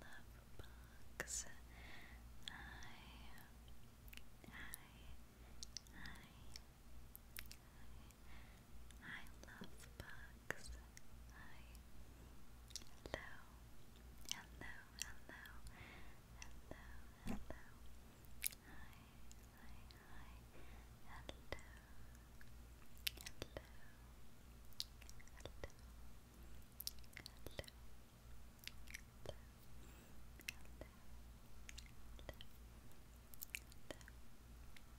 love books. I, I, I, I, love books. I, hello, hello, hello, hello, Hi, hi, hi. Hello, hello, hello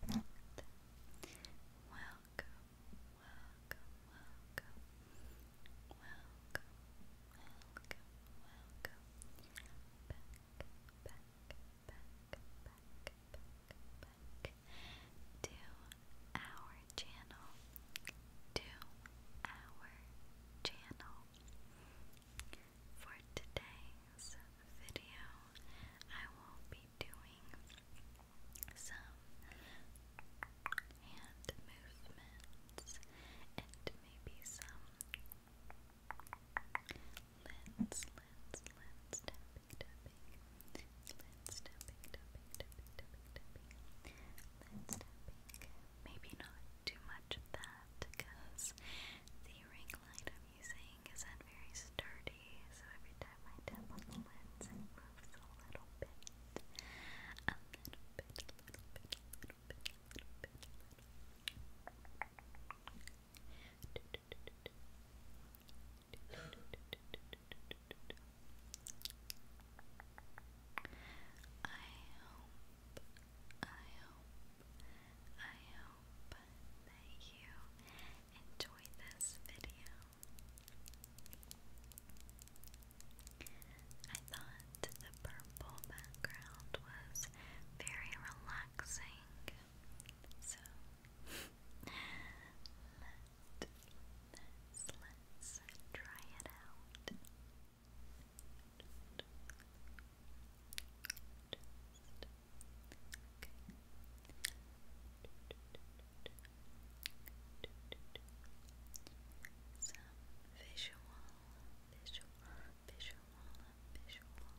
hello. Welcome, welcome, welcome, welcome, welcome, welcome, back, back, back, back, back to our channel, to our channel. For today's video, I will be doing some hand movements and maybe some lens lens, lens, Maybe not too much of that because the ring light I'm using isn't very sturdy, so every time I tap on the lens, moves a little bit hope, I hope, I hope that you enjoyed this video. I thought the purple background was very relaxing, so let's, try it out. Some visual, visual, visual, visual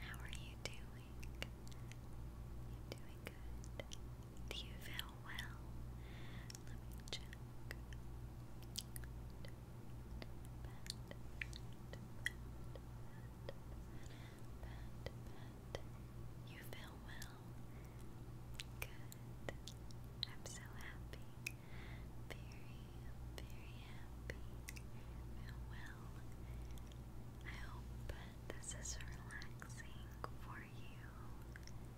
How are you doing? You doing good? Do you feel so well. Let me check. You feel well? Good. I'm so happy. Very, very happy. Feel well. I hope this is relaxing for you.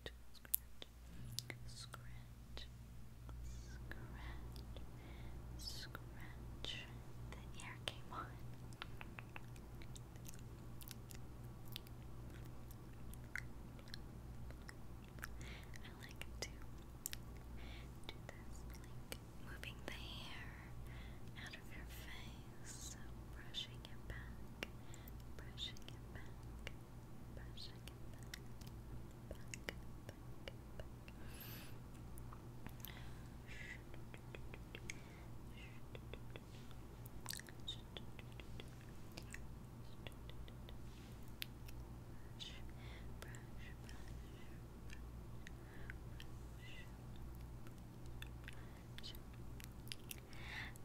scratch, scratch, scratch. The air came on. I like to do this, like moving the hair out of your face, brushing it back, brushing it back, brush again back, back, back, back.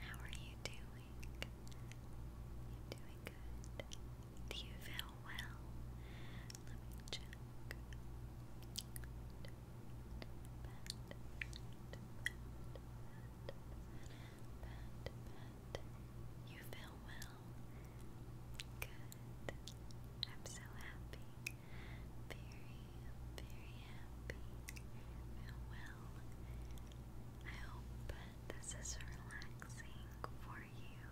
how are you doing? you doing good. Do you feel well? Let me check pat, You feel well? Good. I'm so happy. Very, very happy. You feel well. I hope this is relaxing for you.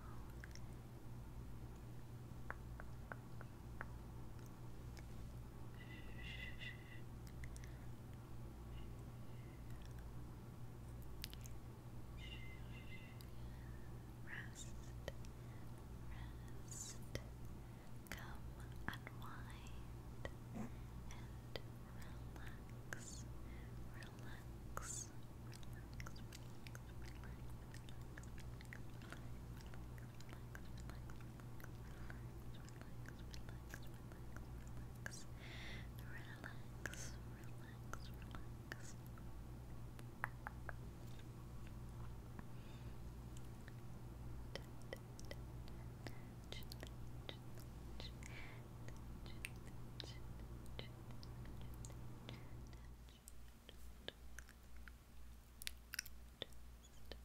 shh. Rest, rest. Come unwind and relax, relax, relax, relax, relax, relax. Just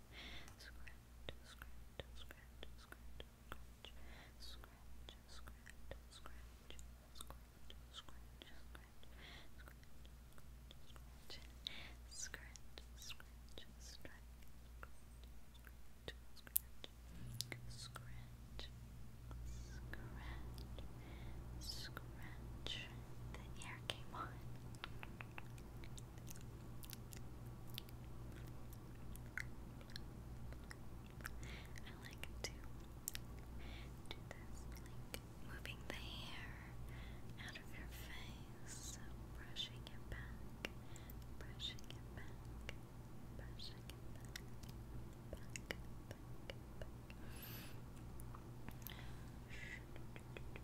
scratch, scratch, the air came on. I like to do this, moving the hair out of your face, brushing it back, brushing it back, brushing it back, back, back, back.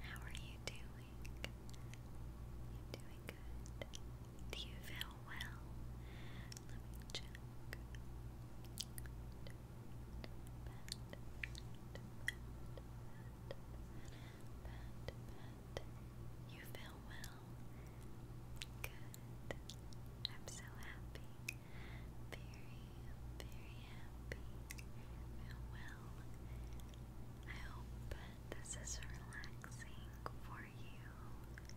How are you doing? You're doing good. Do you feel well? Let me check. You feel well. Good. I'm so happy. Very, very happy. Feel well. I hope this is relaxing for you. Good.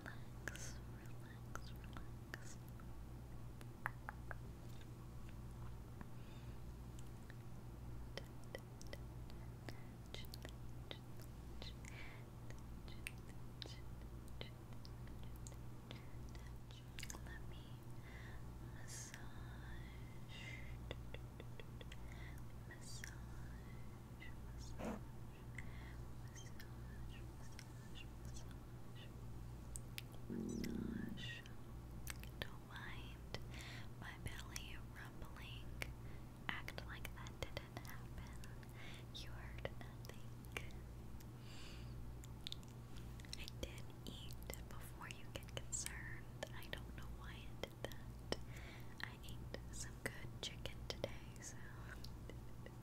relax, relax, relax. Let me massage, massage, massage massage. Don't mind my belly rumbling. Act like that didn't happen. You heard nothing. I did eat before you get concerned. I don't know why I did that. I ate some good chicken today, so Alright,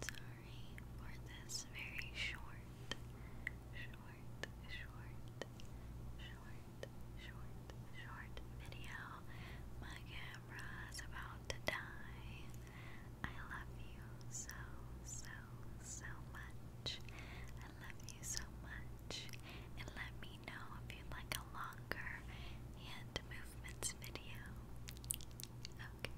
sorry for this very short, short, short, short short, short video. My camera's about to die. I love you so, so, so much. I love you so much. And let me know if you'd like a longer hand movements video. Okay.